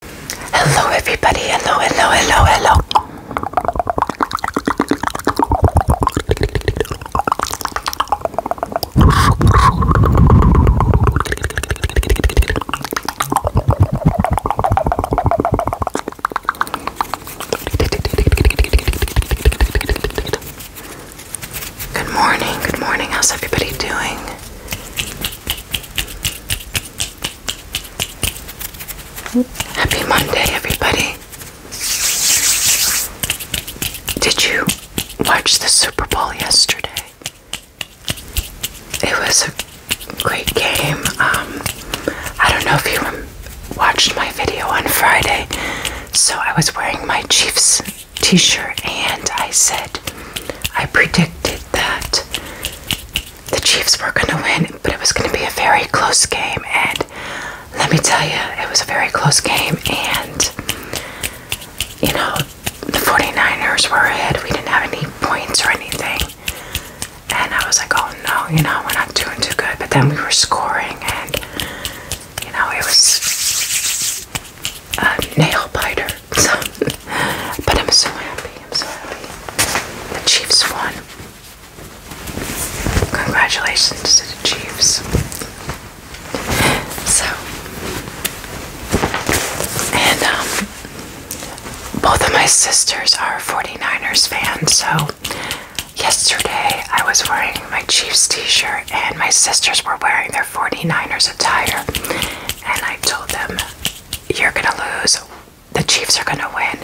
Hello, everybody. Hello, hello, hello, hello. Good morning, good morning. How's everybody doing? Happy Monday, everybody. Did you watch the Super Bowl yesterday? It was a great game. Um, I don't know if you watched my video on Friday. So I was wearing my Chiefs t shirt and I said, I predicted that the Chiefs were going to win, but it was going to be a very close game. And let me tell you, it was a very close game. And, you know, the 49ers were ahead. We didn't have any points or anything. And I was like, oh no, you know, we're not doing too good. But then we were scoring, and, you know, it was a nail biter. So, but I'm so happy. The Chiefs won. Congratulations to the Chiefs. So, and um, both of my sisters are 49ers fans, so yesterday I was wearing my Chiefs t shirt and my sisters were wearing their 49ers attire, and I told them you're going to lose, the Chiefs are going to win.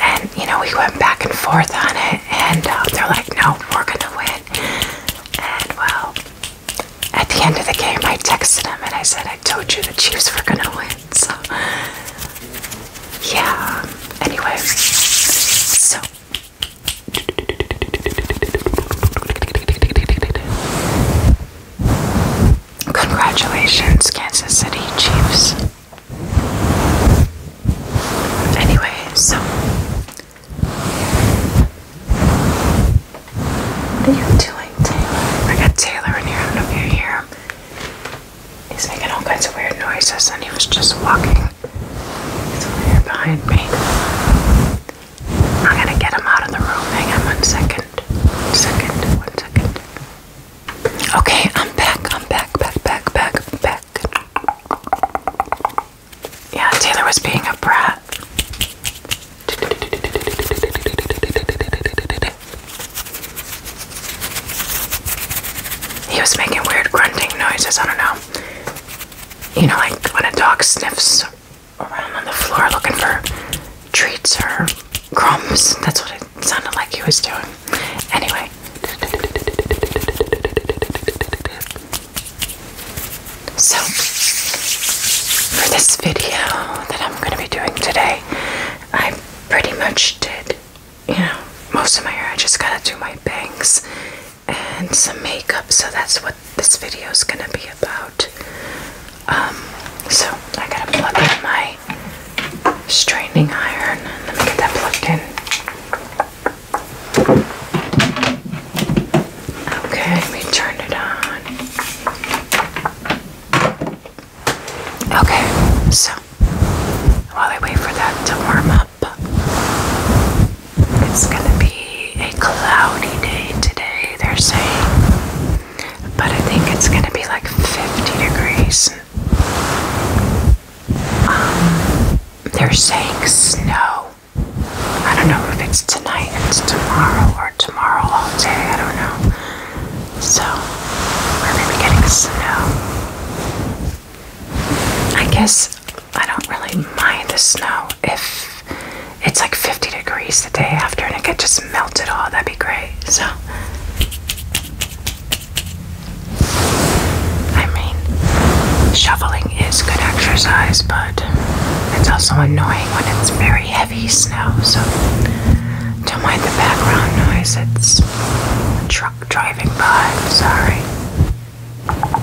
And, you know, we went back and forth on it, and uh, they're like, no, we're going to win. And, well, at the end of the game, I texted him and I said, I told you the Chiefs were going to win. So, yeah. Anyway, so. Congratulations, Kansas City Chiefs. Anyway, so what are you doing, Taylor? I got Taylor in here. I don't know He's making all kinds of weird noises, and he was just walking. He's over here behind me. I'm gonna get him out of the room. Hang on one second second, one second. Okay, I'm back, I'm back, back, back, back, back. Yeah, Taylor was being a brat. He was making weird grunting noises, I don't know. You know, like when a dog sniffs around on the floor looking for treats or crumbs. That's what it sounded like he was doing. Anyway. So, for this video that I'm going to be doing today, I pretty much did, you know, most of my hair. I just got to do my bangs and some makeup, so that's what this video is going to be about. Um, so I gotta plug in my straightening iron. Let me get that plugged in. Okay, let me turn it on. Okay, so while I wait for that to warm up, it's gonna be a cloudy day today, they're saying but I think it's going to be like 50 degrees. Um, they're saying snow. I don't know if it's tonight, it's tomorrow, or tomorrow all day. I don't know. So, we're going to be getting snow. I guess I don't really mind the snow if it's like 50 degrees the day after and it could just melt it all, that'd be great. So, I mean, shoveling is good exercise, but it's also annoying when it's very heavy snow. So, don't mind the background noise, it's a truck driving by. sorry.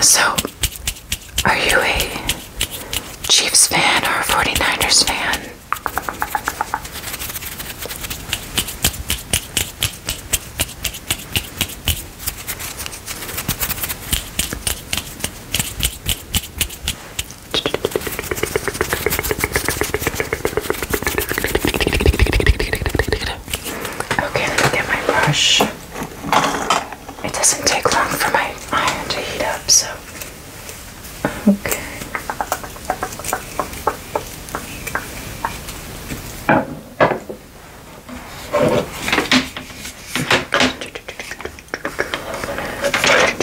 So, are you a Chiefs fan or a 49ers fan? Okay, let me get my brush. It doesn't take long for my iron to heat up, so. Okay. Okay.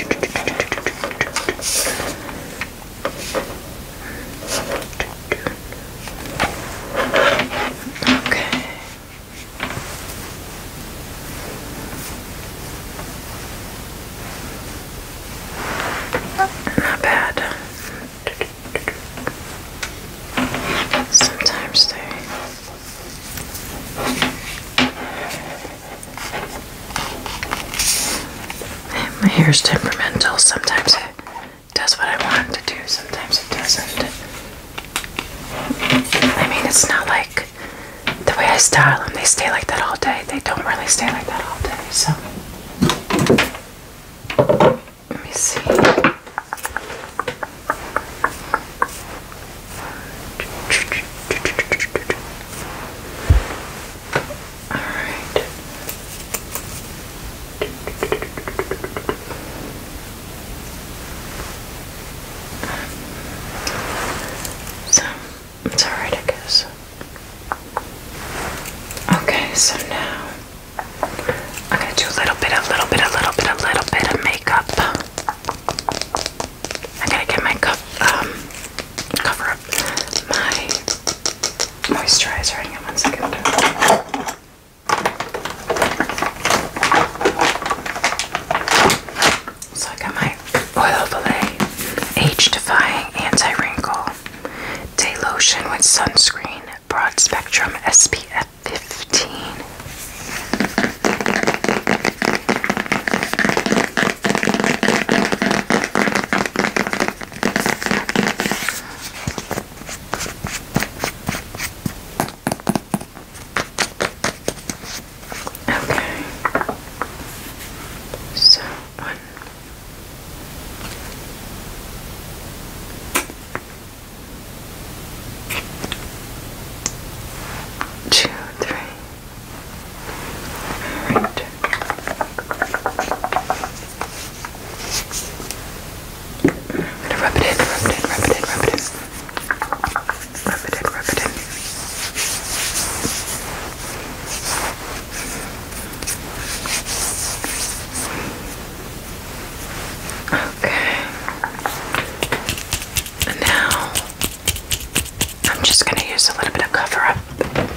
Not bad. Sometimes they my hair's temperamental. Sometimes it does what I want to do, sometimes it doesn't. I mean, it's not like the way I style them, they stay like that all day. They don't really stay like that all day, so. Let me see. All right. So it's alright, I guess. Okay, so now I'm gonna do a little bit, a little bit, a little bit, a little bit of makeup. I gotta get my cup, um, cover up my moisturizer. Hang on one second. So I got my Oil Valet Age Defying Anti Wrinkle Day Lotion with Sunscreen Broad Spectrum SPF 15. Okay. So one. Alright. i rub it in, rub it in, rub it in, rub it in. Rub it in, rub it in. Okay. And now I'm just going to use a little bit of cover up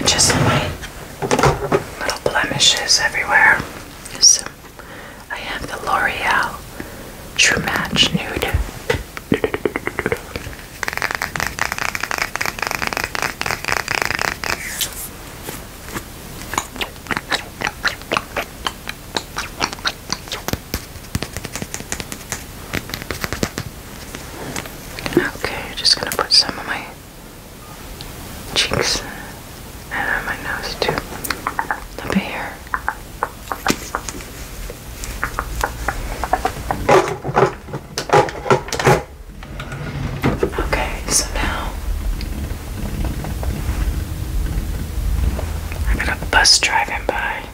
just my little blemishes everywhere. So I have the L'Oreal True Match Nude. Okay, I'm just gonna put some of my cheeks and on my nose too. Up here. Okay, so now I'm gonna bus driving by.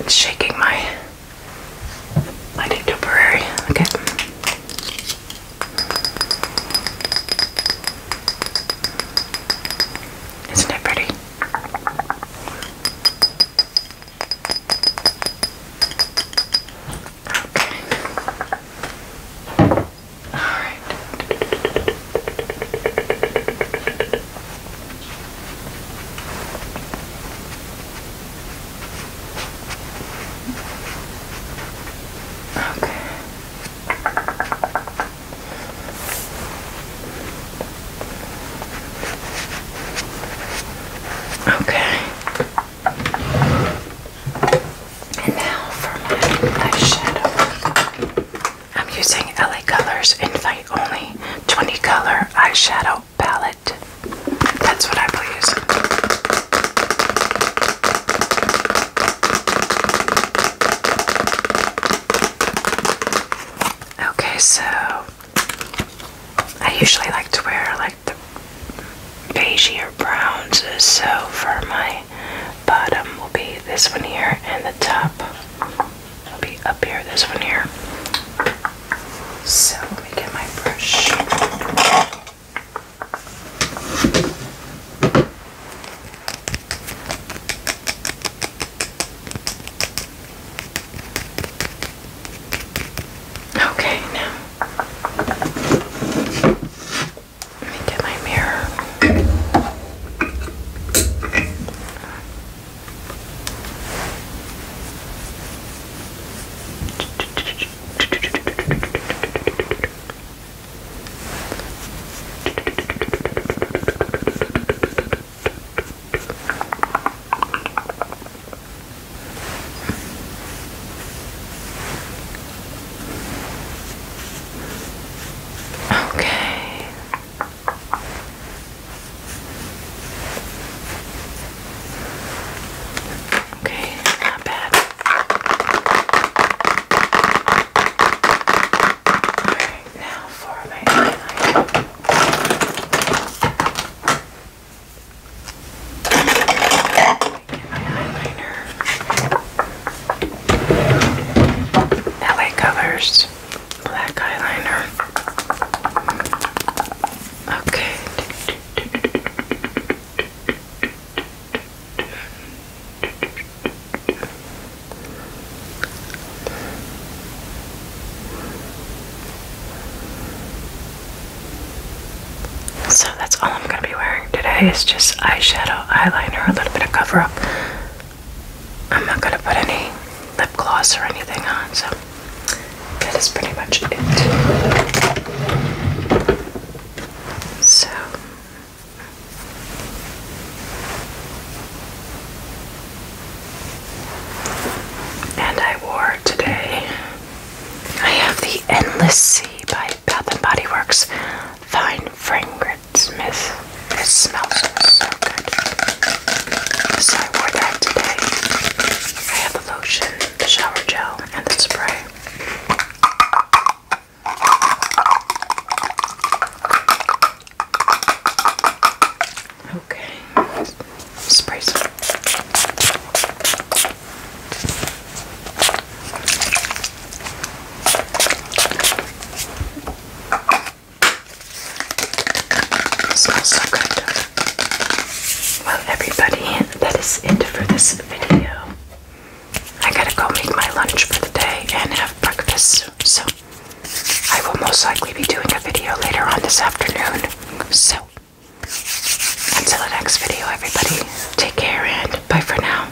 It's shaking my lighting temporary. Okay. Isn't it pretty? Alright. Okay. Okay. And now for my eyeshadow. I'm using LA Colors Invite Only 20 Color Eyeshadow Palette. That's what I will use. Okay, so I usually like to wear like the beige or browns, so for my bottom will be this one here, and the top will be up here, this one here. So let me get my brush. Okay, now let me get my mirror. Okay. Okay, not bad. Alright, now for my eyeliner. LA Colors black eyeliner. Okay. So that's all I'm going to be wearing today is just eyeshadow, eyeliner, a little bit of cover up. I'm not going to put any lip gloss or anything on, so that is pretty much it. So. And I wore today. I have the Endless Sea by by Bath and Body Works Fine Fragrance Mist. It smells so good. So I wore that today. I have the lotion, the shower gel, and the spray. Okay, spray some. It so good. Well, everybody that is it for this video. I gotta go make my lunch for the day and have breakfast. So I will most likely be doing a video later on this afternoon. So until the next video, everybody, take care and bye for now.